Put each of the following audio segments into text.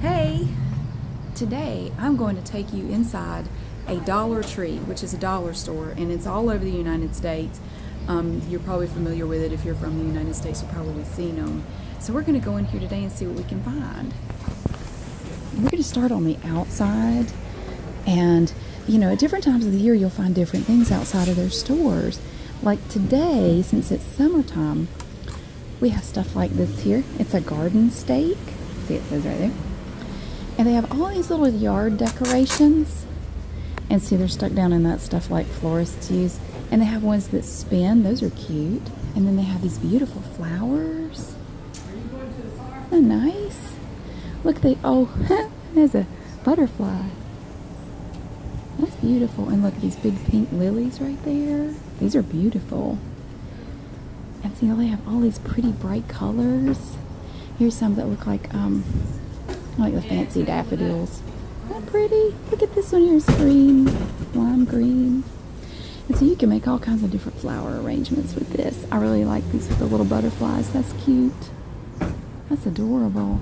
Hey, today I'm going to take you inside a Dollar Tree, which is a dollar store, and it's all over the United States. Um, you're probably familiar with it. If you're from the United States, you've probably seen them. So we're going to go in here today and see what we can find. We're going to start on the outside. And, you know, at different times of the year, you'll find different things outside of their stores. Like today, since it's summertime, we have stuff like this here. It's a garden stake. See, it says right there. And they have all these little yard decorations. And see, they're stuck down in that stuff like florists use. And they have ones that spin. Those are cute. And then they have these beautiful flowers. Isn't that nice? Look, they, oh, there's a butterfly. That's beautiful. And look, at these big pink lilies right there. These are beautiful. And see how they have all these pretty bright colors. Here's some that look like um, like the fancy daffodils. not pretty? Look at this one here. It's green, lime green. And so you can make all kinds of different flower arrangements with this. I really like these with the little butterflies. That's cute. That's adorable.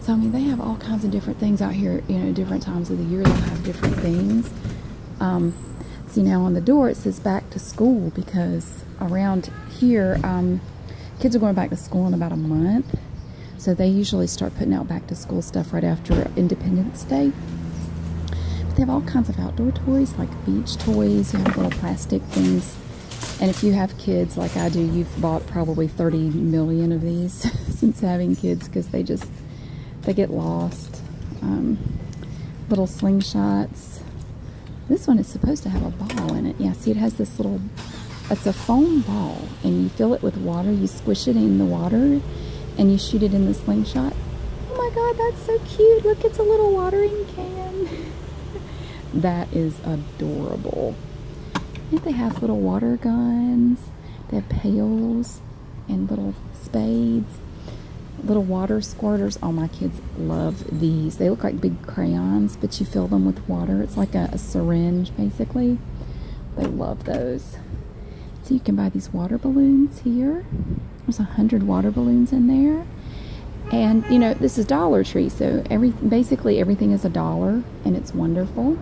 So I mean, they have all kinds of different things out here. You know, different times of the year they'll have different things. Um, see now on the door it says back to school because around here um, kids are going back to school in about a month. So they usually start putting out back to school stuff right after Independence Day. But they have all kinds of outdoor toys like beach toys. You have little plastic things. And if you have kids like I do, you've bought probably 30 million of these since having kids because they just they get lost. Um, little slingshots. This one is supposed to have a ball in it. Yeah, see it has this little, it's a foam ball and you fill it with water, you squish it in the water and you shoot it in the slingshot. Oh my God, that's so cute. Look, it's a little watering can. that is adorable. And they have little water guns. They have pails and little spades, little water squirters. All my kids love these. They look like big crayons, but you fill them with water. It's like a, a syringe, basically. They love those. So you can buy these water balloons here. There's a hundred water balloons in there. And you know, this is Dollar Tree, so every basically everything is a dollar and it's wonderful.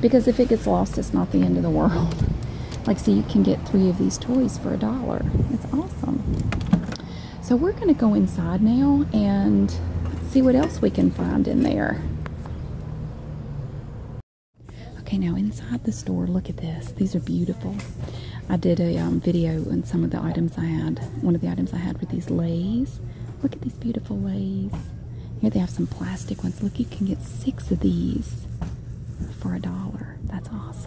Because if it gets lost, it's not the end of the world. Like, see, you can get three of these toys for a dollar. It's awesome. So, we're going to go inside now and see what else we can find in there. Okay, now inside the store, look at this. These are beautiful. I did a um, video on some of the items I had. One of the items I had were these Lays. Look at these beautiful ways. Here they have some plastic ones. Look, you can get six of these for a dollar. That's awesome.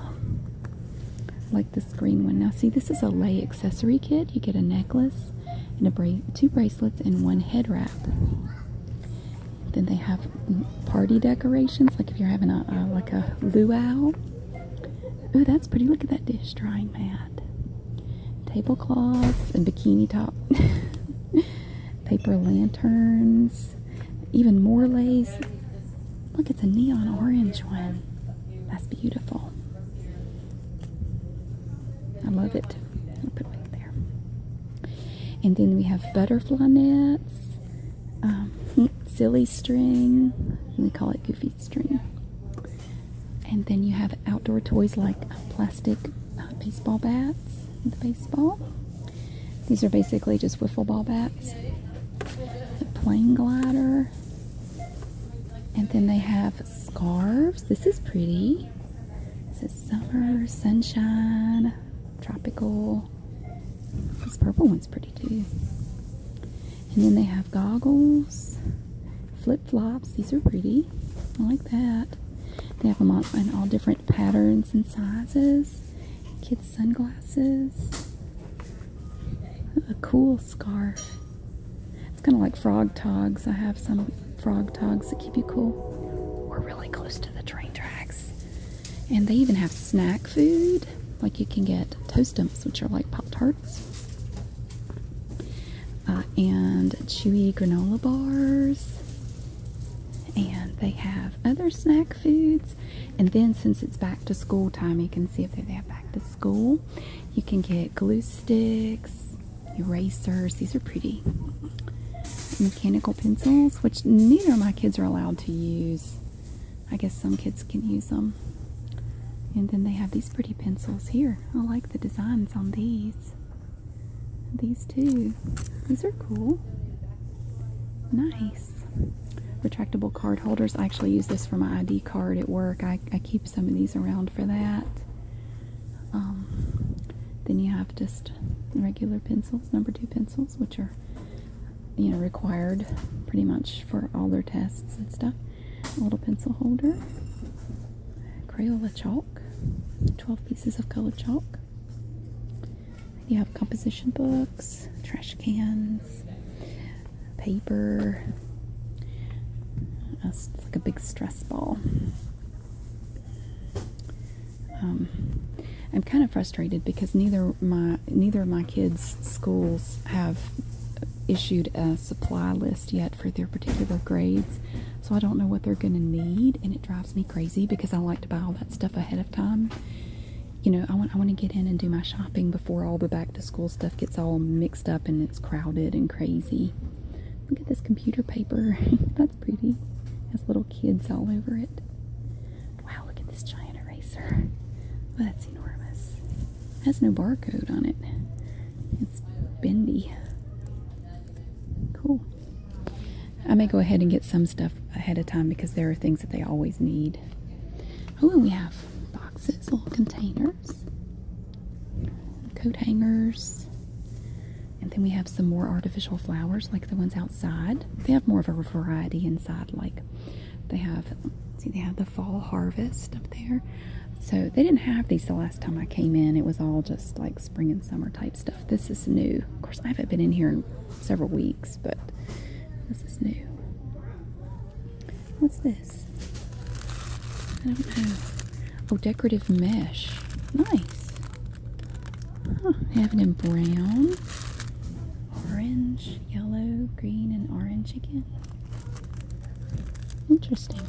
like this green one. Now see, this is a lay accessory kit. You get a necklace and a bra two bracelets and one head wrap. Then they have party decorations, like if you're having a, like a luau. Ooh, that's pretty. Look at that dish drying mat. Tablecloths and bikini top. paper lanterns, even more lace. Look, it's a neon orange one. That's beautiful. I love it. I'll put it there. And then we have butterfly nets, um, silly string. We call it goofy string. And then you have outdoor toys like uh, plastic uh, baseball bats, the baseball. These are basically just wiffle ball bats. The plane glider. And then they have scarves. This is pretty. This is summer, sunshine, tropical. This purple one's pretty too. And then they have goggles, flip flops These are pretty. I like that. They have them on in all different patterns and sizes. Kids' sunglasses. A cool scarf. It's kind of like frog togs. I have some frog togs that keep you cool. We're really close to the train tracks. And they even have snack food. Like you can get Toastums, which are like Pop Tarts. Uh, and chewy granola bars. And they have other snack foods. And then, since it's back to school time, you can see if they have back to school. You can get glue sticks, erasers. These are pretty. Mechanical pencils, which neither of my kids are allowed to use. I guess some kids can use them. And then they have these pretty pencils here. I like the designs on these. These two. These are cool. Nice. Retractable card holders. I actually use this for my ID card at work. I, keep some of these around for that. Um, then you have just regular pencils, number two pencils, which are, you know, required pretty much for all their tests and stuff. A little pencil holder. Crayola chalk. 12 pieces of colored chalk. You have composition books, trash cans, paper. Uh, it's like a big stress ball. Um, I'm kind of frustrated because neither my neither of my kids' schools have issued a supply list yet for their particular grades. So I don't know what they're going to need, and it drives me crazy because I like to buy all that stuff ahead of time. You know, I want I want to get in and do my shopping before all the back to school stuff gets all mixed up and it's crowded and crazy. Look at this computer paper. That's pretty. has little kids all over it. Wow, look at this giant eraser. Oh, that's enormous. has no barcode on it. It's bendy. Cool. I may go ahead and get some stuff ahead of time because there are things that they always need. Oh, and we have boxes, little containers, coat hangers, and then we have some more artificial flowers like the ones outside. They have more of a variety inside, like they have, see, they have the fall harvest up there. So they didn't have these the last time I came in. It was all just like spring and summer type stuff. This is new. Of course, I haven't been in here in several weeks, but this is new. What's this? Oh, decorative mesh. Nice. I have it in brown, orange, yellow, green, and orange again. Interesting.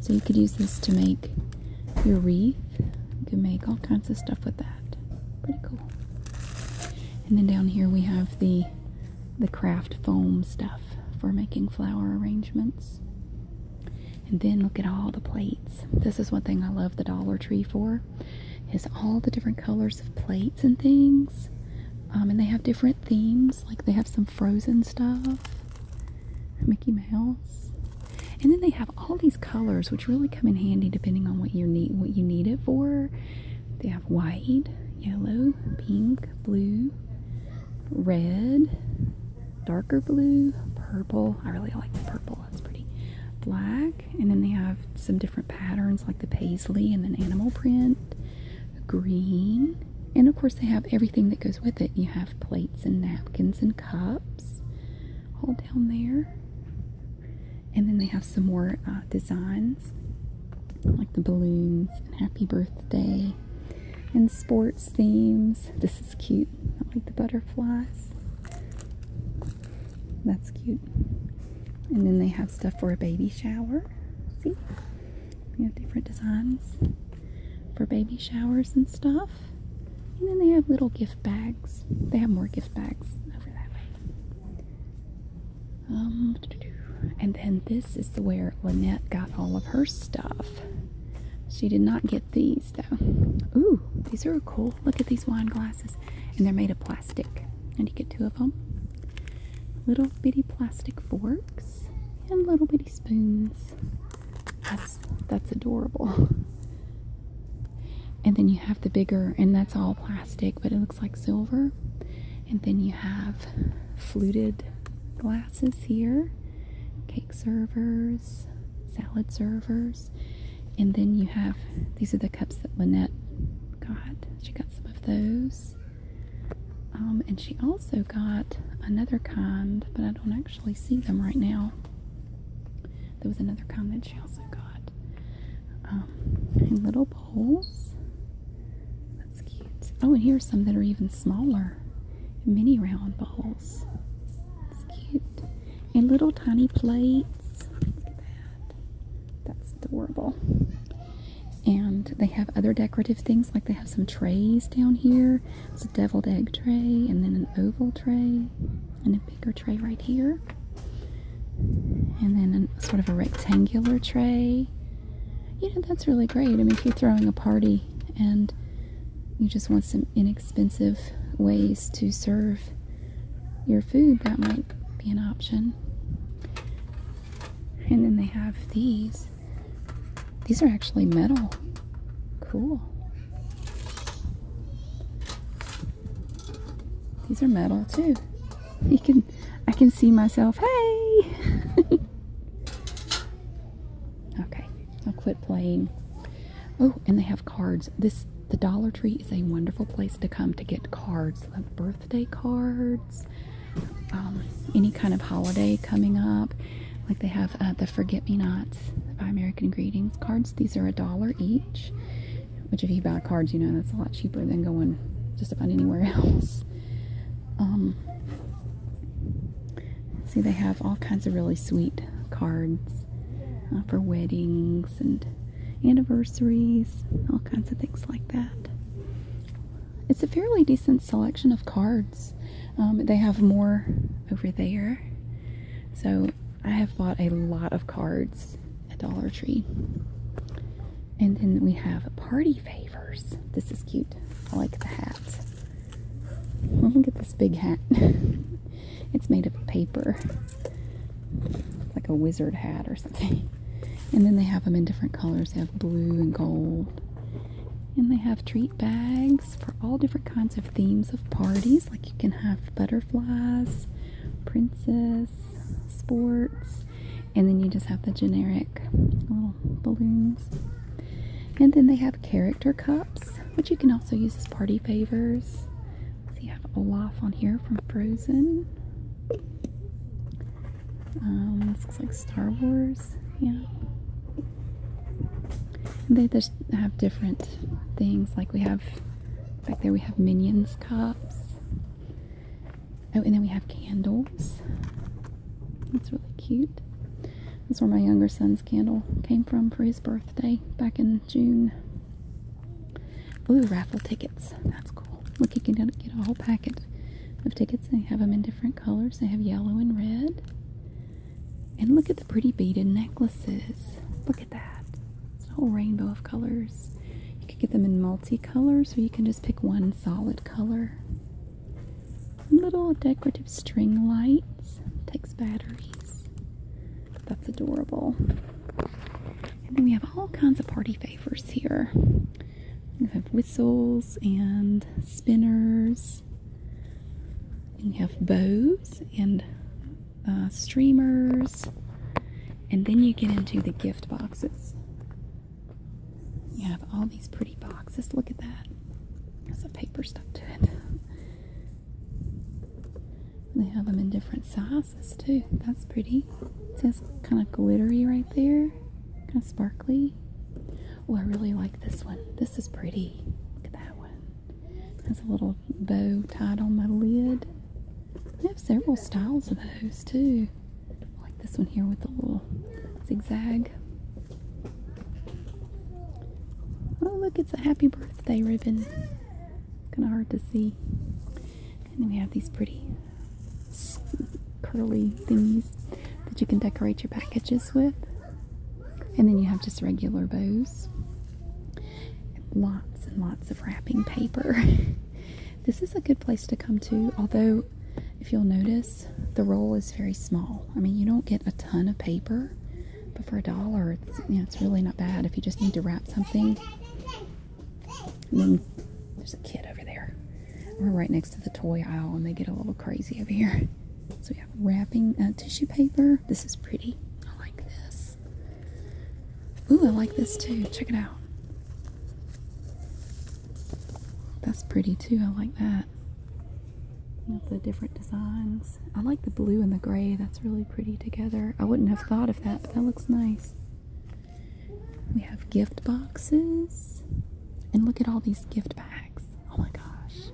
So you could use this to make your wreath. You can make all kinds of stuff with that. Pretty cool. And then down here we have the the craft foam stuff for making flower arrangements. And then look at all the plates. This is one thing I love the Dollar Tree for is all the different colors of plates and things. Um, and they have different themes, like they have some frozen stuff. Mickey Mouse. And then they have all these colors which really come in handy depending on what you need what you need it for. They have white, yellow, pink, blue, red, darker blue, purple. I really like purple. That's pretty. Black, and then they have some different patterns like the paisley and then animal print, green, and of course they have everything that goes with it. You have plates and napkins and cups. all down there. And then they have some more uh, designs like the balloons and happy birthday and sports themes. This is cute. I like the butterflies. That's cute. And then they have stuff for a baby shower. See? We have different designs for baby showers and stuff. And then they have little gift bags. They have more gift bags over that way. Um, and then this is where Lynette got all of her stuff. She did not get these though. Ooh, these are cool. Look at these wine glasses. And they're made of plastic. And you get two of them. Little bitty plastic forks and little bitty spoons. That's that's adorable. And then you have the bigger, and that's all plastic, but it looks like silver. And then you have fluted glasses here, cake servers, salad servers, and then you have these are the cups that Lynette got. She got some of those. Um, and she also got another kind, but I don't actually see them right now. There was another comment she also got. Um, little bowls. That's cute. Oh, and here are some that are even smaller. Mini round bowls. That's cute. And little tiny plates. That's adorable. And they have other decorative things, like they have some trays down here it's a deviled egg tray and then an oval tray and a bigger tray right here. And then a, sort of a rectangular tray. You know, that's really great. I mean, if you're throwing a party and you just want some inexpensive ways to serve your food, that might be an option. And then they have these these are actually metal. Cool. These are metal too. You can I can see myself. Hey. okay. I'll quit playing. Oh, and they have cards. This the Dollar Tree is a wonderful place to come to get cards, like birthday cards, um, any kind of holiday coming up. Like they have uh, the Forget Me Nots by American Greetings cards. These are a dollar each, which if you buy cards, you know that's a lot cheaper than going just about anywhere else. Um, see, they have all kinds of really sweet cards uh, for weddings and anniversaries, all kinds of things like that. It's a fairly decent selection of cards. Um, they have more over there. So I have bought a lot of cards at Dollar Tree. And then we have party favors. This is cute. I like the hat. look at this big hat. it's made of paper. like a wizard hat or something. And then they have them in different colors. They have blue and gold. And they have treat bags for all different kinds of themes of parties. Like you can have butterflies, princess, sports, and then you just have the generic little balloons. And then they have character cups, which you can also use as party favors. So you have Olaf on here from Frozen. Um, this looks like Star Wars. Yeah they just have different things. Like we have back there, we have Minions cups. Oh, and then we have candles. That's really cute. That's where my younger son's candle came from for his birthday back in June. Blue raffle tickets. That's cool. Look, you can get a whole packet of tickets. They have them in different colors. They have yellow and red. And look at the pretty beaded necklaces. Look at that. It's a whole rainbow of colors. You can get them in multicolors, or you can just pick one solid color. Little decorative string lights. Takes batteries. That's adorable. And then we have all kinds of party favors here. We have whistles and spinners you have bows and uh, streamers. And then you get into the gift boxes. You have all these pretty boxes. Look at that. There's some paper stuff to it. They have them in different sizes too. That's pretty. It's says kind of glittery right there. Kind of sparkly. Oh, I really like this one. This is pretty. Look at that one. Has a little bow tied on my lid. I have several styles of those too. like this one here with a little zigzag. Oh look, it's a happy birthday ribbon. Kind of hard to see. And then we have these pretty curly thingies that you can decorate your packages with. And then you have just regular bows. Lots and lots of wrapping paper. this is a good place to come to, although if you'll notice, the roll is very small. I mean, you don't get a ton of paper, but for a dollar, it's, it's really not bad if you just need to wrap something. then there's a kid over there. We're right next to the toy aisle, and they get a little crazy over here. So we have wrapping uh, tissue paper. This is pretty. I like this. Ooh, I like this too. Check it out. That's pretty too. I like that. the different designs. I like the blue and the gray. That's really pretty together. I wouldn't have thought of that, but that looks nice. We have gift boxes. And look at all these gift bags. Oh my gosh.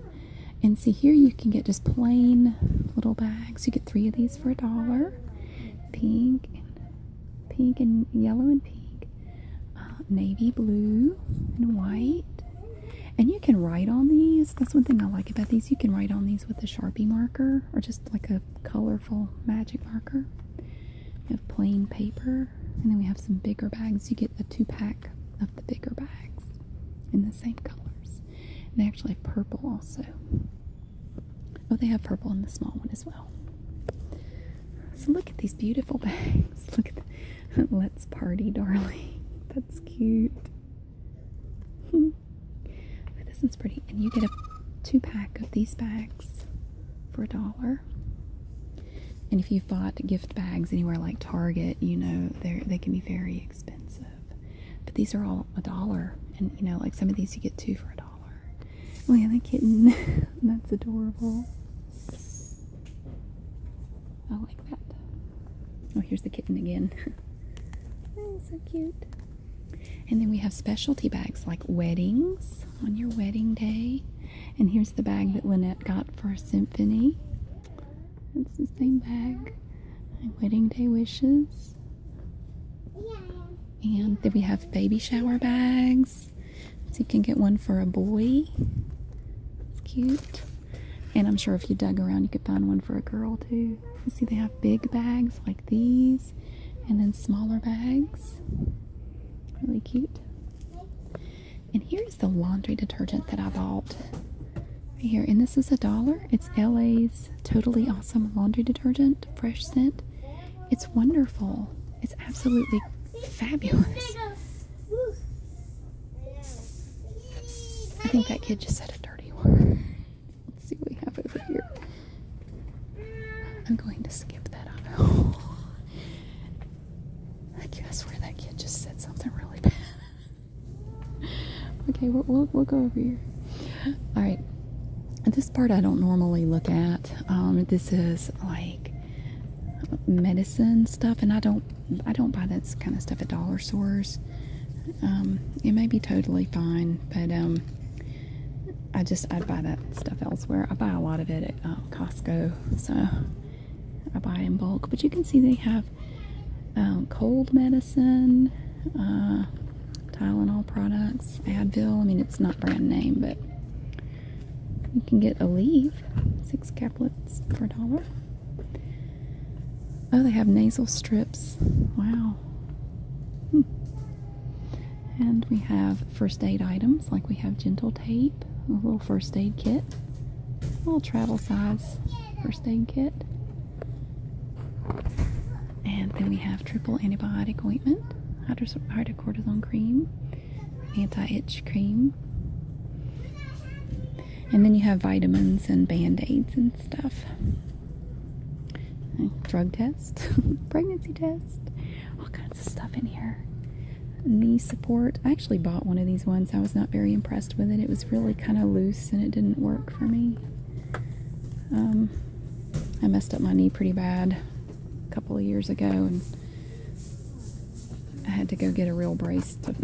And see here you can get just plain little bags. You get three of these for a dollar. Pink and pink and yellow and pink. Uh, navy blue and white. And you can write on these. That's one thing I like about these. You can write on these with a Sharpie marker or just like a colorful magic marker. We have plain paper. And then we have some bigger bags. You get a two pack of the bigger bags in the same colors. they actually have purple also. Oh, they have purple in the small one as well. So look at these beautiful bags. Look at Let's Party Darling. That's cute. this one's pretty. And you get a two pack of these bags for a dollar. And if you bought a gift bags anywhere like Target, you know, they they can be very expensive. But these are all a dollar, and you know, like some of these you get two for a dollar. Oh yeah, the kitten, that's adorable. I like that. Oh, here's the kitten again. so cute. And then we have specialty bags like weddings on your wedding day. And here's the bag that Lynette got for symphony. It's the same bag. My wedding day wishes. And then we have baby shower bags. So you can get one for a boy. It's cute. And I'm sure if you dug around, you could find one for a girl too. You see, they have big bags like these, and then smaller bags. Really cute. And here is the laundry detergent that I bought right here. And this is a dollar. It's LA's Totally Awesome Laundry Detergent, fresh scent. It's wonderful. It's absolutely fabulous. I think that kid just said a dirty word. Let's see what we have over here. I'm going to skip that I guess where that kid just said something really bad okay, we'll, go over here. All right, this part I don't normally look at. Um, this is like medicine stuff, and I don't I don't buy that kind of stuff at dollar stores. Um, it may be totally fine, but um, I just I buy that stuff elsewhere. I buy a lot of it at uh, Costco, so I buy in bulk. But you can see they have um, cold medicine, uh, Tylenol products, Advil. I mean, it's not brand name, but you can get Aleve, six caplets for a dollar. Oh, they have nasal strips. Wow. Hmm. And we have first aid items, like we have gentle tape, a little first aid kit, a little travel size first kit. And then we have triple antibiotic ointment, hydrocortisone cream, anti-itch cream. And then you have vitamins and band-aids and stuff. Oh, drug test, pregnancy test, all kinds of stuff in here. Knee support. I actually bought one of these ones. I was not very impressed with it. It was really kind of loose and it didn't work for me. Um, I messed up my knee pretty bad a couple of years ago and I had to go get a real brace to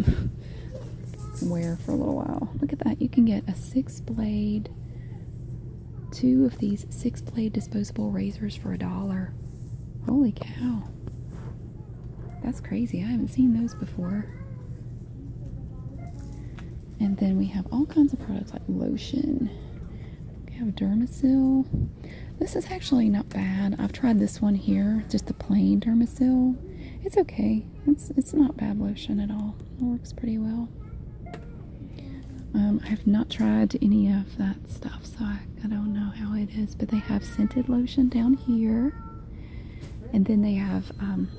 wear for a little while. Look at that. You can get a six blade, two of these six blade disposable razors for a dollar. Holy cow. That's crazy. I haven't seen those before. And then we have all kinds of products like lotion. We have Dermasil. This is actually not bad. I've tried this one here, just the plain Dermasil. It's okay. It's it's not bad lotion at all. It works pretty well. Um, I have not tried any of that stuff, so I don't know how it is. But they have scented lotion down here. And then they have um,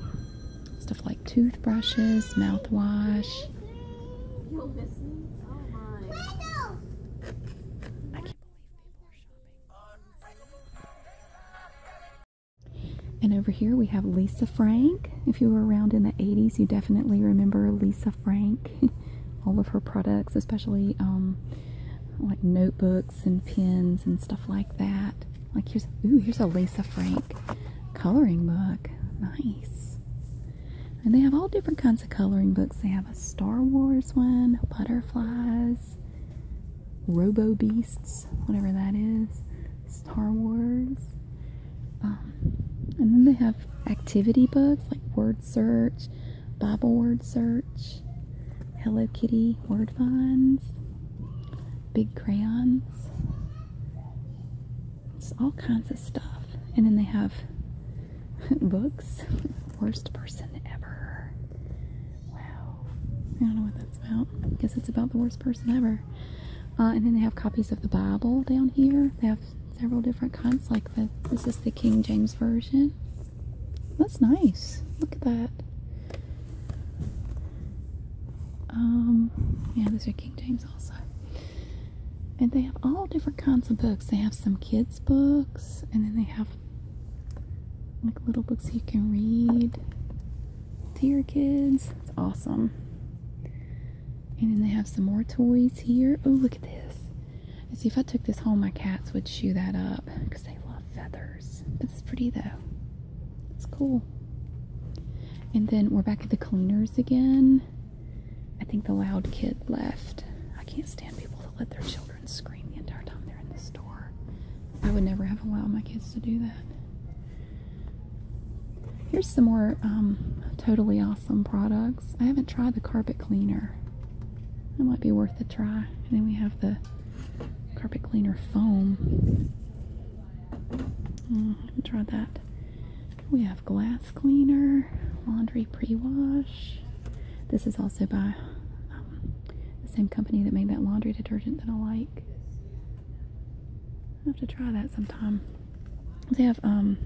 stuff like toothbrushes, mouthwash. And over here we have Lisa Frank. If you were around in the 80s, you definitely remember Lisa Frank. All of her products, especially um, like notebooks and pins and stuff like that. Like here's ooh, here's a Lisa Frank coloring book. Nice. And they have all different kinds of coloring books. They have a Star Wars one, butterflies, Robo Beasts, whatever that is, Star Wars. Um, and then they have activity books like word search, Bible word search. Hello Kitty word finds, big crayons, it's all kinds of stuff. And then they have books. Worst person ever. Wow. I don't know what that's about. I guess it's about the worst person ever. Uh, and then they have copies of the Bible down here. They have several different kinds, like this is the King James Version. That's nice. Look at that. Um, yeah, those are King James also. And they have all different kinds of books. They have some kids' books, and then they have like little books you can read to your kids. It's awesome. And then they have some more toys here. Oh, look at this. And see, if I took this home, my cats would chew that up because they love feathers. But it's pretty though. It's cool. And then we're back at the cleaners again. I think the loud kid left. I can't stand people that let their children scream the entire time they're in the store. I would never have allowed my kids to do that. Here's some more um, totally awesome products. I haven't tried the carpet cleaner. That might be worth a try. And then we have the carpet cleaner foam. Mm, I tried that. We have glass cleaner, laundry pre-wash. This is also by um, the same company that made that laundry detergent that I like. I have to try that sometime. They have um,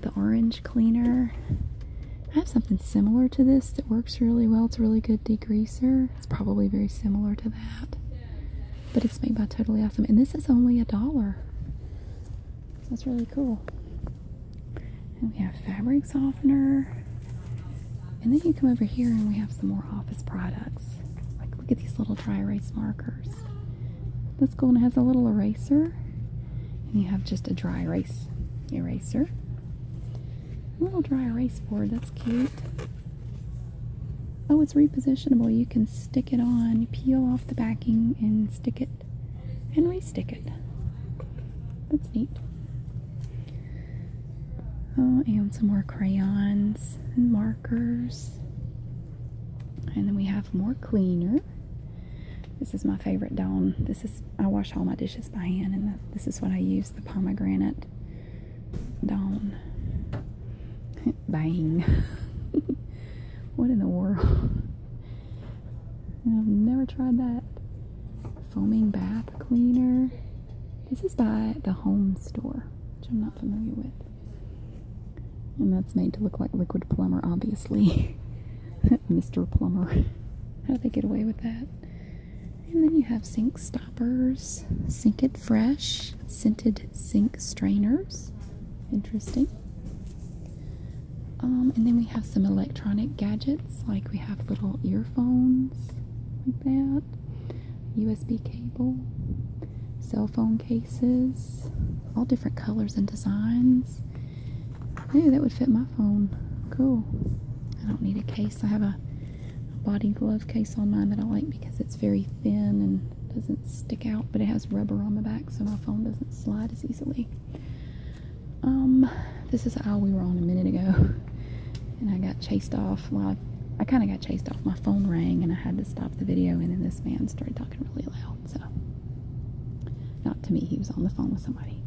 the orange cleaner. I have something similar to this that works really well. It's a really good degreaser. It's probably very similar to that. But it's made by Totally Awesome. And this is only a dollar. that's really cool. And we have fabric softener. And then you come over here and we have some more office products. Like look at these little dry erase markers. This cool has a little eraser. And you have just a dry erase eraser. A little dry erase board, that's cute. Oh, it's repositionable. You can stick it on, peel off the backing, and stick it and restick it. That's neat. Oh, and some more crayons and markers. And then we have more cleaner. This is my favorite Dawn. This is I wash all my dishes by hand, and this is what I use the pomegranate it Bang. what in the world? I've never tried that. Foaming bath cleaner. This is by the home store, which I'm not familiar with. And that's made to look like liquid plumber, obviously. Mr. Plumber. How do they get away with that? And then you have sink stoppers, sink it fresh, scented sink strainers. Interesting. Um, and then we have some electronic gadgets, like we have little earphones, like that, USB cable, cell phone cases, all different colors and designs. Hey, that would fit my phone. Cool. I don't need a case. I have a a body glove case on mine that I like because it's very thin and doesn't stick out, but it has rubber on the back so my phone doesn't slide as easily. Um, this is how we were on a minute ago, and I got chased off. Well, I kind of got chased off. My phone rang, and I had to stop the video, and then this man started talking really loud, so. Not to me, he was on the phone with somebody.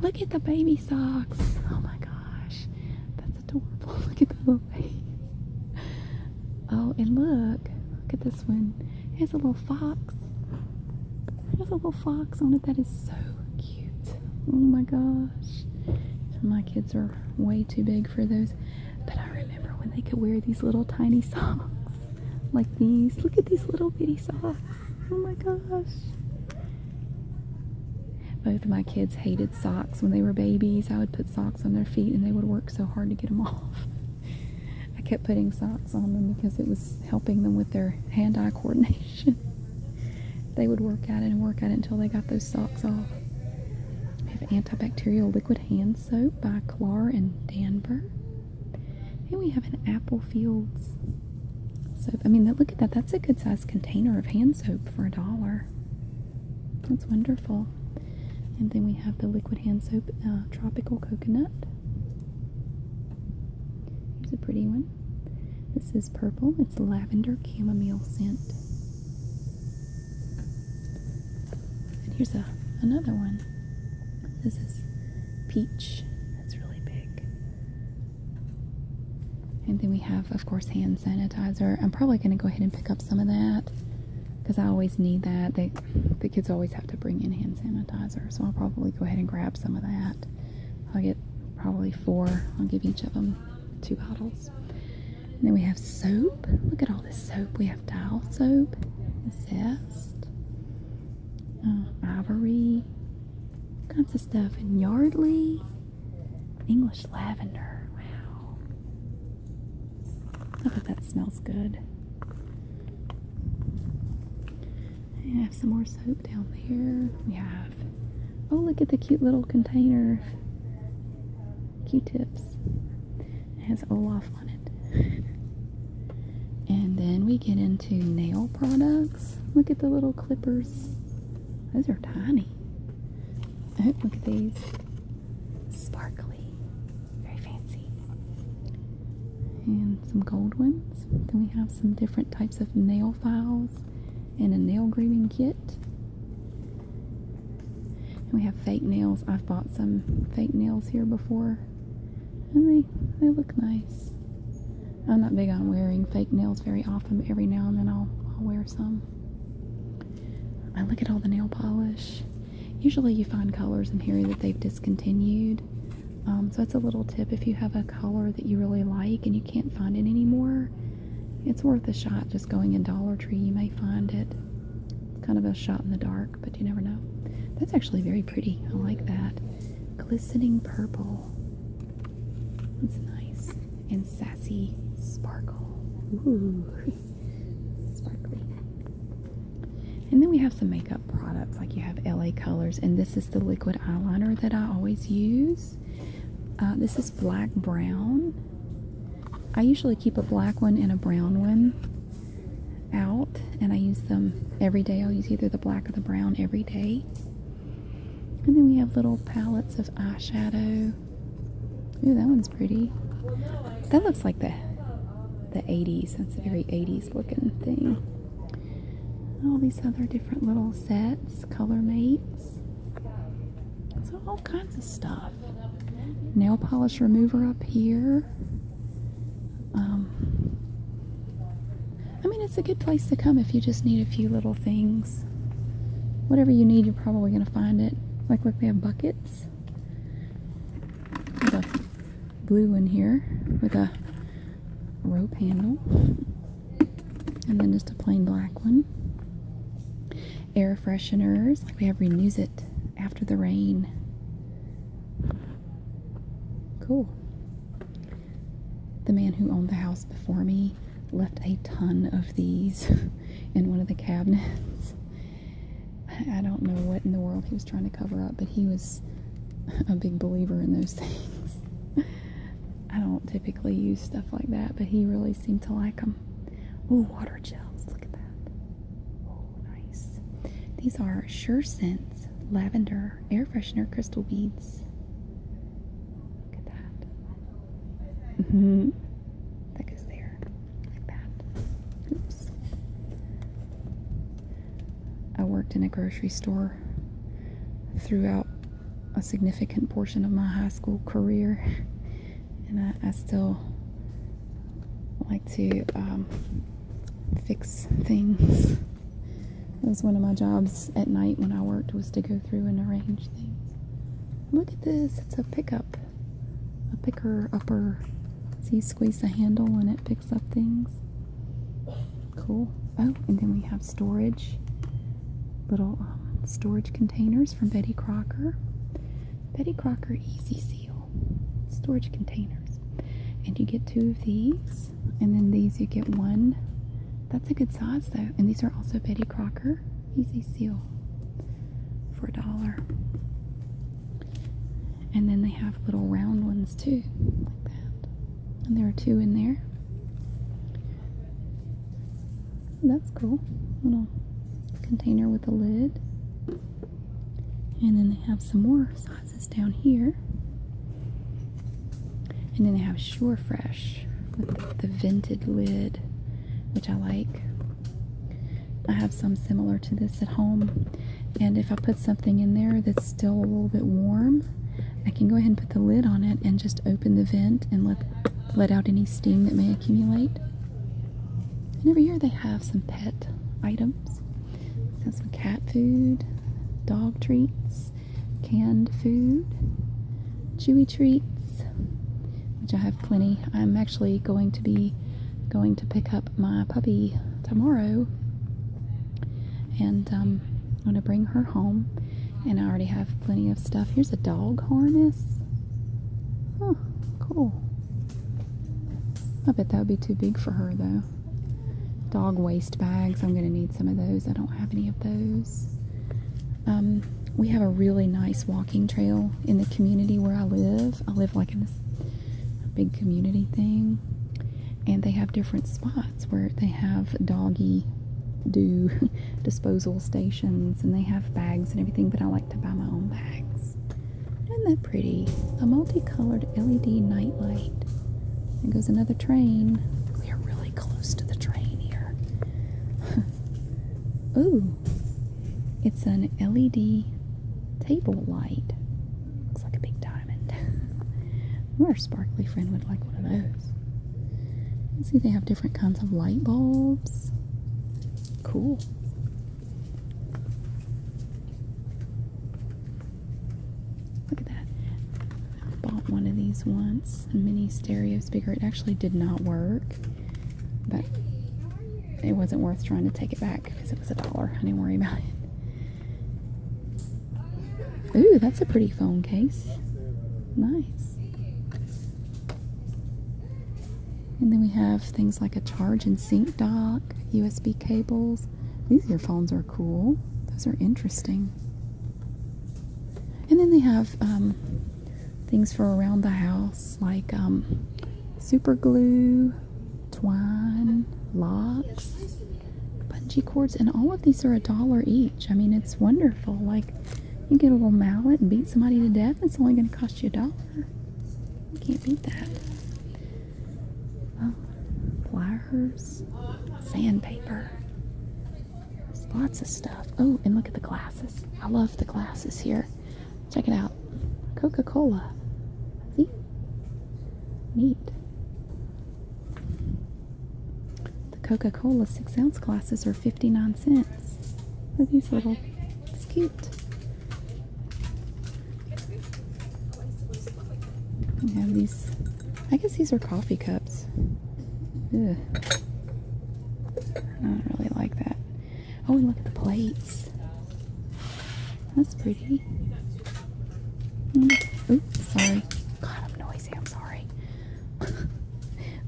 Look at the baby socks. Oh my gosh. That's adorable. Look at the little face. Oh, and look. Look at this one. It a little fox. It has a little fox on it. That is so cute. Oh my gosh. My kids are way too big for those. But I remember when they could wear these little tiny socks. Like these. Look at these little bitty socks. Oh my gosh. Both of my kids hated socks when they were babies. I would put socks on their feet and they would work so hard to get them off. I kept putting socks on them because it was helping them with their hand eye coordination. they would work at it and work at it until they got those socks off. We have antibacterial liquid hand soap by Clar and Danver. And we have an Apple Fields so I mean, look at that. That's a good sized container of hand soap for a dollar. That's wonderful. And then we have the liquid hand soap, uh, tropical coconut. Here's a pretty one. This is purple. It's lavender chamomile scent. And here's a another one. This is peach. That's really big. And then we have, of course, hand sanitizer. I'm probably going to go ahead and pick up some of that because I always need that. They, the kids always have to bring in hand sanitizer, so I'll probably go ahead and grab some of that. I'll get probably four. I'll give each of them two bottles. then we have soap. Look at all this soap. We have Dial soap, Zest, uh, Ivory, kinds of stuff, and Yardley. English lavender. Wow. I bet that smells good. I have some more soap down there. We have, oh, look at the cute little container Q-tips. It has Olaf on it. and then we get into nail products. Look at the little clippers. Those are tiny. Oh, look at these. Sparkly. Very fancy. And some gold ones. Then we have some different types of nail files and a nail grooming kit. we have fake nails. I've bought some fake nails here before. And they, they look nice. I'm not big on wearing fake nails very often, but every now and then I'll, I'll wear some. I look at all the nail polish. Usually you find colors in here that they've discontinued. Um, so that's a little tip. If you have a color that you really like and you can't find it anymore, it's worth a shot just going in Dollar Tree. You may find it. It's kind of a shot in the dark, but you never know. That's actually very pretty. I like that. Glistening purple. That's nice sassy sparkle. Ooh, sparkly. And then we have some makeup products, like you have LA Colors, and this is the liquid eyeliner that I always use. Uh, this is black brown. I usually keep a black one and a brown one out, and I use them every day. I'll use either the black or the brown every day. And then we have little palettes of eyeshadow. Ooh, that one's pretty. That looks like the the 80s. That's a very 80s looking thing. All these other different little sets, color mates. So all kinds of stuff. Nail polish remover up here. Um, I mean, it's a good place to come if you just need a few little things. Whatever you need, you're probably going to find it. Like, look, we have buckets. There's a blue one here with a rope handle. And then just a plain black one. Air fresheners. Like, we have Renews It after the rain. Cool the man who owned the house before me left a ton of these in one of the cabinets. I don't know what in the world he was trying to cover up, but he was a big believer in those things. I don't typically use stuff like that, but he really seemed to like them. Ooh, water gels. Look at that. Oh, nice. These are Sure Scents Lavender Air Freshener Crystal Beads. Look at that hmm. That there. Like that. Oops. I worked in a grocery store throughout a significant portion of my high school career, and I, still like to um, fix things. It was one of my jobs at night when I worked was to go through and arrange things. Look at this. It's a pickup. A picker upper. So you squeeze the handle and it picks up things. Cool. Oh, and then we have storage. Little um, storage containers from Betty Crocker. Betty Crocker Easy Seal. Storage containers. And you get two of these. And then these you get one that's a good size though. And these are also Betty Crocker Easy Seal for a dollar. And then they have little round ones too, like that. And there are two in there. That's cool. Little container with a lid. And then they have some more sizes down here. And then they have Sure Fresh with the, vented lid, which I like. I have some similar to this at home. And if I put something in there that's still a little bit warm, I can go ahead and put the lid on it and just open the vent and let, let out any steam that may accumulate. And every year they have some pet items. Got some cat food, dog treats, canned food, chewy treats, which I have plenty. I'm actually going to be going to pick up my puppy tomorrow, and I'm um, going to bring her home. And I already have plenty of stuff. Here's a dog harness. Huh, cool. I bet that would be too big for her though. Dog waste bags. I'm going to need some of those. I don't have any of those. Um, we have a really nice walking trail in the community where I live. I live like in this big community thing, and they have different spots where they have doggy do disposal stations and they have bags and everything, but I like to buy my own bags. Isn't that pretty? A multicolored LED nightlight. There goes another train. We are really close to the train here. Ooh, it's an LED table light. Looks like a big diamond. Our sparkly friend would like one of those. see, they have different kinds of light bulbs. Cool. Look at that bought one of these once, mini stereo speaker. It actually did not work, but it wasn't worth trying to take it back because it was a dollar. I didn't worry about it. Ooh, that's a pretty phone case. Nice. And then we have things like a charge and sync dock, USB cables. These earphones are cool. Those are interesting. And then they have um, things for around the house like um, super glue, twine, locks, bungee cords, and all of these are a dollar each. I mean, it's wonderful. Like, you get a little mallet and beat somebody to death, it's only going to cost you a dollar. You can't beat that. Oh, pliers, sandpaper, lots of stuff. Oh, and look at the glasses. I love the glasses here. Check it out. Coca-Cola. See? Neat. The Coca-Cola six ounce glasses are 59 cents. Look at these little, it's cute. We have these, I guess these are coffee cups. I don't really like that. Oh, and look at the plates. That's pretty. Hmm. Oops, sorry. God, I'm noisy. I'm sorry.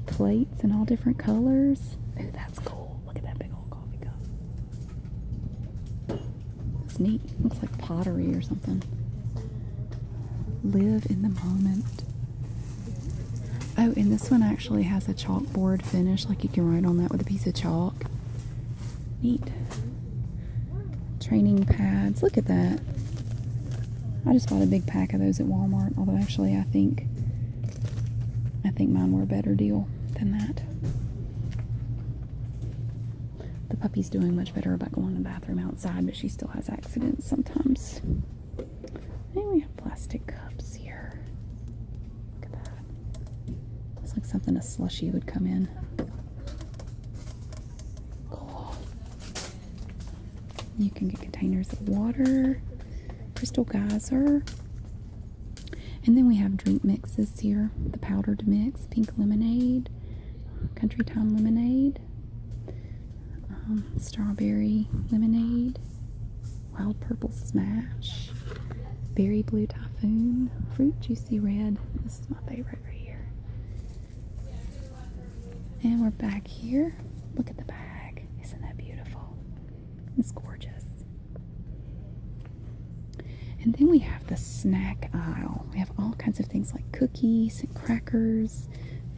plates in all different colors. Ooh, that's cool. Look at that big old coffee cup. It's neat. Looks like pottery or something. Live in the moment. Oh, and this one actually has a chalkboard finish, like you can write on that with a piece of chalk. Neat. Training pads. Look at that. I just bought a big pack of those at Walmart, although actually I think I think mine were a better deal than that. The puppy's doing much better about going to the bathroom outside, but she still has accidents sometimes we have plastic cups here. Looks like something a slushy would come in. Cool. You can get containers of water, crystal geyser. And then we have drink mixes here. The powdered mix, pink lemonade, country time lemonade, um, strawberry lemonade, wild purple smash, berry blue typhoon, fruit juicy red. This is my favorite right here. And we're back here. Look at the bag. Isn't that beautiful? It's gorgeous. And then we have the snack aisle. We have all kinds of things like cookies and crackers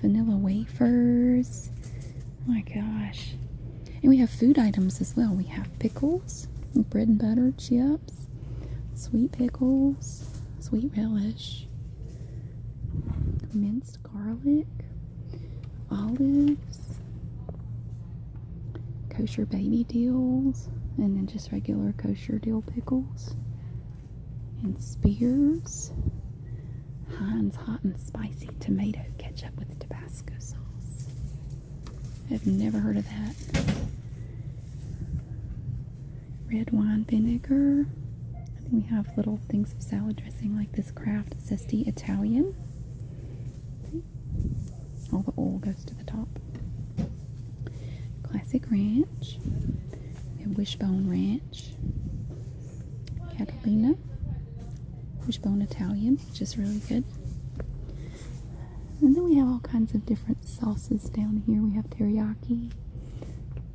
vanilla wafers. Oh my gosh. And we have food items as well. We have pickles, bread and butter, chips, sweet pickles, sweet relish, minced garlic, olives, kosher baby dills, and then just regular kosher dill pickles and Spears. Heinz hot and spicy tomato ketchup with Tabasco sauce. I've never heard of that. Red wine vinegar. I think we have little things of salad dressing like this Kraft Zesty Italian. All the oil goes to the top. Classic ranch. And wishbone ranch. Catalina, Wishbone Italian, which is really good. And then we have all kinds of different sauces down here. We have teriyaki,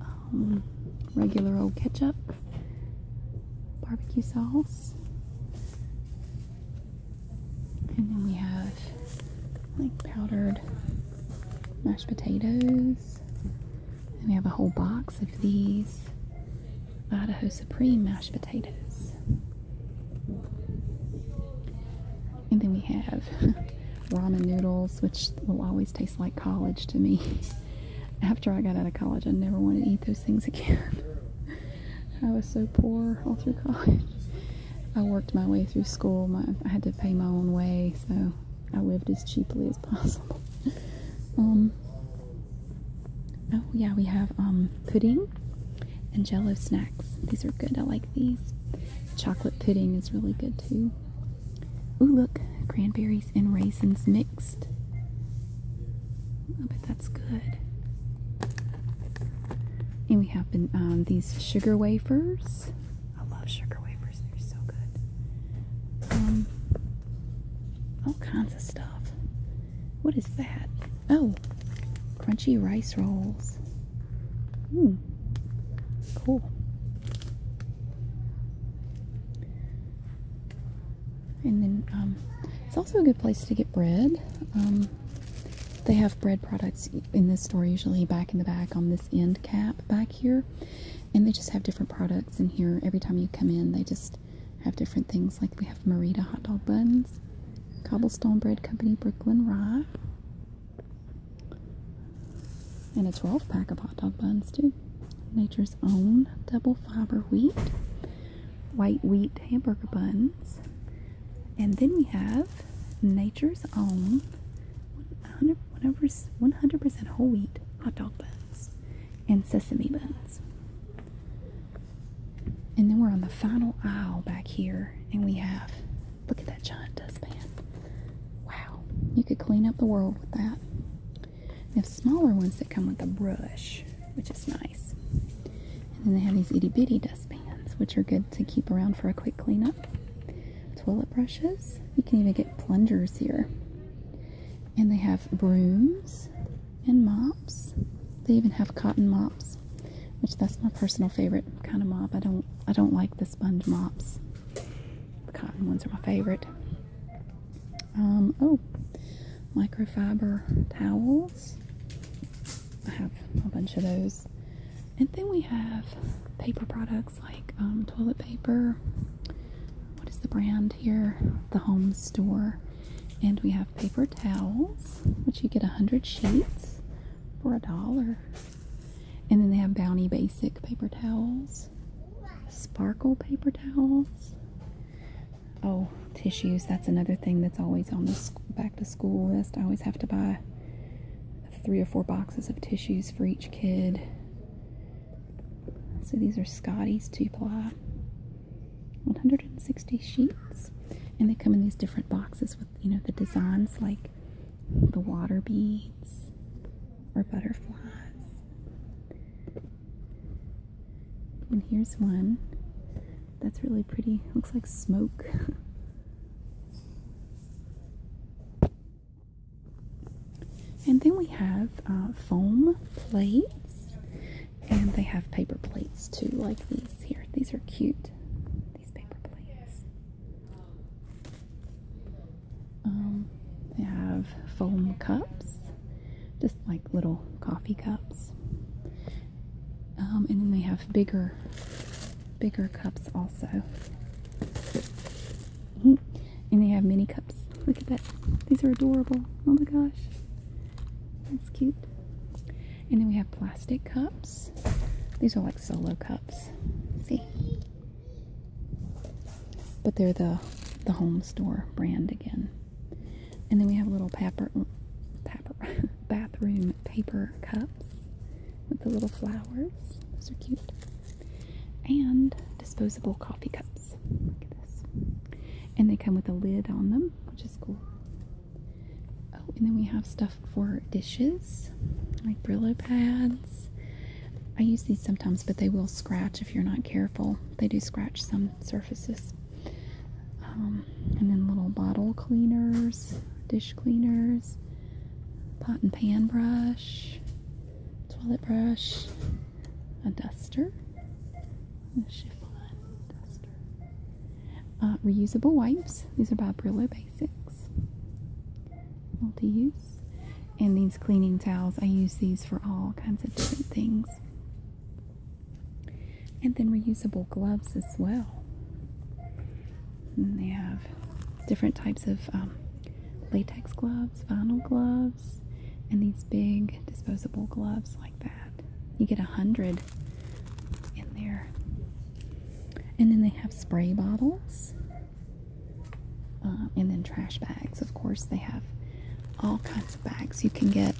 um, regular old ketchup, barbecue sauce. And then we have like powdered mashed potatoes, and we have a whole box of these Idaho Supreme mashed potatoes. And then we have ramen noodles, which will always taste like college to me. After I got out of college, I never wanted to eat those things again. I was so poor all through college. I worked my way through school. My, I had to pay my own way, so I lived as cheaply as possible. Um, oh yeah, we have um, pudding and jello snacks. These are good. I like these. Chocolate pudding is really good too. Oh look, cranberries and raisins mixed. I bet that's good. And we have um, these sugar wafers. I love sugar wafers, they're so good. Um, all kinds of stuff. What is that? Oh, crunchy rice rolls. Hmm, cool. And then um, it's also a good place to get bread. Um, they have bread products in this store usually back in the back on this end cap back here and they just have different products in here every time you come in they just have different things like we have marita hot dog buns cobblestone bread company brooklyn rye and a 12 pack of hot dog buns too nature's own double fiber wheat white wheat hamburger buns and then we have nature's own 100% whole wheat hot dog buns and sesame buns. And then we're on the final aisle back here, and we have look at that giant dustpan. Wow, you could clean up the world with that. They have smaller ones that come with a brush, which is nice. And then they have these itty bitty dustpans, which are good to keep around for a quick cleanup. Toilet brushes. You can even get plungers here. And they have brooms and mops. They even have cotton mops, which that's my personal favorite kind of mop. I don't I don't like the sponge mops. The cotton ones are my favorite. Um, oh, microfiber towels. I have a bunch of those. And then we have paper products like um, toilet paper. What is the brand here? The Home Store. And we have paper towels, which you get 100 sheets for a dollar. And then they have Bounty Basic paper towels, sparkle paper towels. Oh, tissues. That's another thing that's always on the back to school list. I always have to buy three or four boxes of tissues for each kid. So these are Scotty's two 160 sheets, and they come in these different boxes with you know the designs like the water beads or butterflies. And here's one that's really pretty. Looks like smoke. And then we have uh, foam plates, and they have paper plates too, like these here. These are cute. These paper plates. Um, they have foam cups, just like little coffee cups. Um, and then they have bigger, bigger cups also. Mm-hmm. and they have mini cups. Look at that. These are adorable. Oh my gosh. That's cute. And then we have plastic cups. These are like solo cups. See? But they're the the home store brand again. And then we have little paper, mm, paper bathroom paper cups with the little flowers. Those are cute and disposable coffee cups. And they come with a lid on them, which is cool. Oh, and then we have stuff for dishes, like Brillo pads. I use these sometimes, but they will scratch if you're not careful. They do scratch some surfaces. Um, and then little bottle cleaners, dish cleaners, pot and pan brush, toilet brush, a duster, uh, reusable wipes. These are by Brillo Basics, multi-use, and these cleaning towels. I use these for all kinds of different things, and then reusable gloves as well. they have different types of um, latex gloves, vinyl gloves and these big disposable gloves like that. You get a hundred in there. And then they have spray bottles um, and then trash bags. Of course, they have all kinds of bags. You can get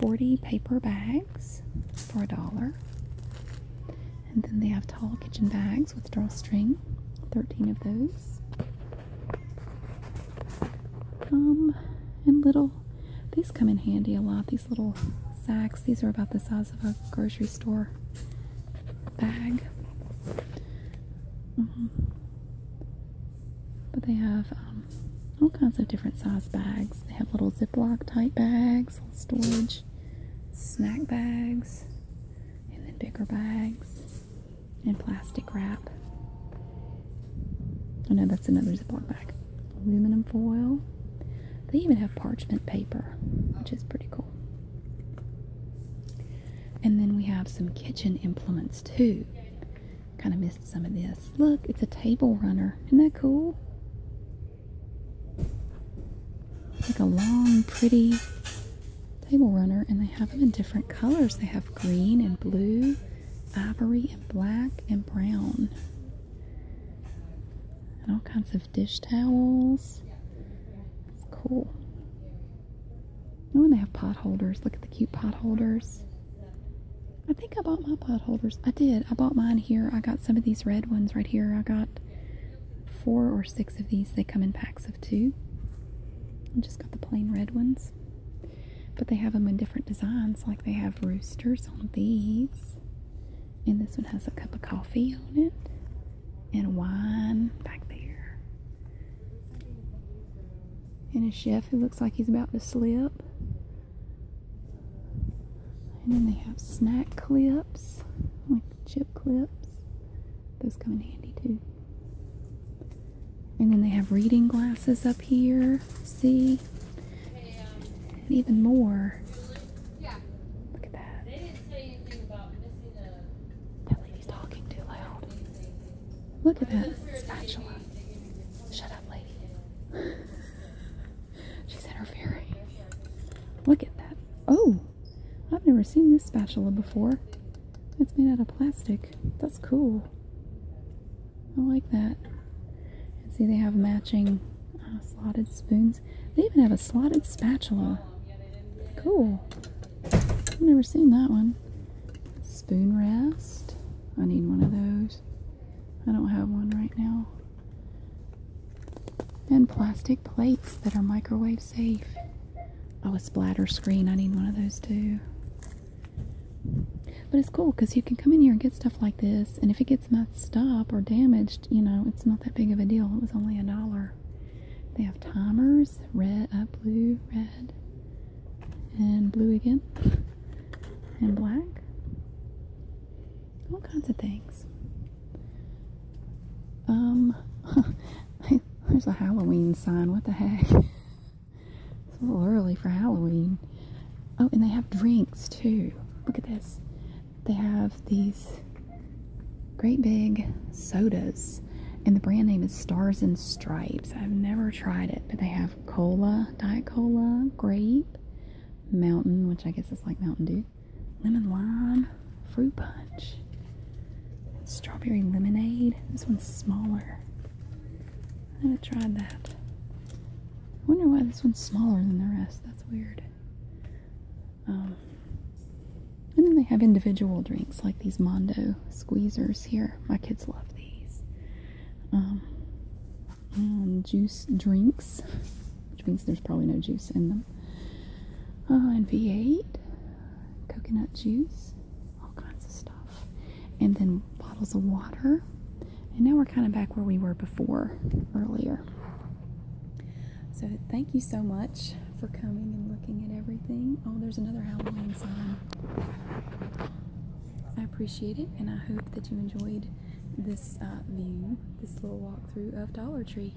40 paper bags for a dollar. And then they have tall kitchen bags with drawstring, 13 of those. Um, and little, these come in handy a lot. These little sacks, these are about the size of a grocery store bag. Mm-hmm. But they have um, all kinds of different size bags. They have little Ziploc type bags, storage, snack bags, and then bigger bags and plastic wrap. I know that's another Ziploc bag. Aluminum foil. They even have parchment paper, which is pretty cool. And then we have some kitchen implements too. Kind of missed some of this. Look, it's a table runner. Isn't that cool? Like a long, pretty table runner, and they have them in different colors. They have green and blue, ivory and black, and brown. And all kinds of dish towels. It's cool. Oh, and they have potholders. Look at the cute potholders. I think I bought my potholders. I did. I bought mine here. I got some of these red ones right here. I got four or six of these. They come in packs of two. I just got the plain red ones. But they have them in different designs, like they have roosters on these. And this one has a cup of coffee on it and wine back there. And a chef who looks like he's about to slip. And then they have snack clips, like chip clips. Those come in handy too. And then they have reading glasses up here. See? even more. Look at that. That lady's talking too loud. Look at that spatula. Shut up, lady. She's interfering. Look at that. Oh! I've never seen this spatula before. It's made out of plastic. That's cool. I like that. And see, they have matching uh, slotted spoons. They even have a slotted spatula. Cool. I've never seen that one. Spoon rest. I need one of those. I don't have one right now. And plastic plates that are microwave safe. Oh, a splatter screen. I need one of those too. But it's cool because you can come in here and get stuff like this, and if it gets messed up or damaged, you know, it's not that big of a deal. It was only a dollar. They have timers red, uh, blue, red, and blue again, and black. All kinds of things. Um, There's a Halloween sign. What the heck? It's a little early for Halloween. Oh, and they have drinks too. Look at this. They have these great big sodas. And the brand name is Stars and Stripes. I've never tried it, but they have cola, Diet Cola, grape, mountain, which I guess is like Mountain Dew, lemon lime, fruit punch. Strawberry lemonade. This one's smaller. I haven't tried that. I wonder why this one's smaller than the rest. That's weird. Um, and then they have individual drinks like these Mondo squeezers here. My kids love these. Um, and juice drinks, which means there's probably no juice in them. Uh, and V8 coconut juice, all kinds of stuff, and then bottles of water. And now we're kind of back where we were before earlier. So thank you so much for coming and looking at everything. Oh, there's another Halloween sign. I appreciate it, and I hope that you enjoyed this uh, view, this little walkthrough of Dollar Tree.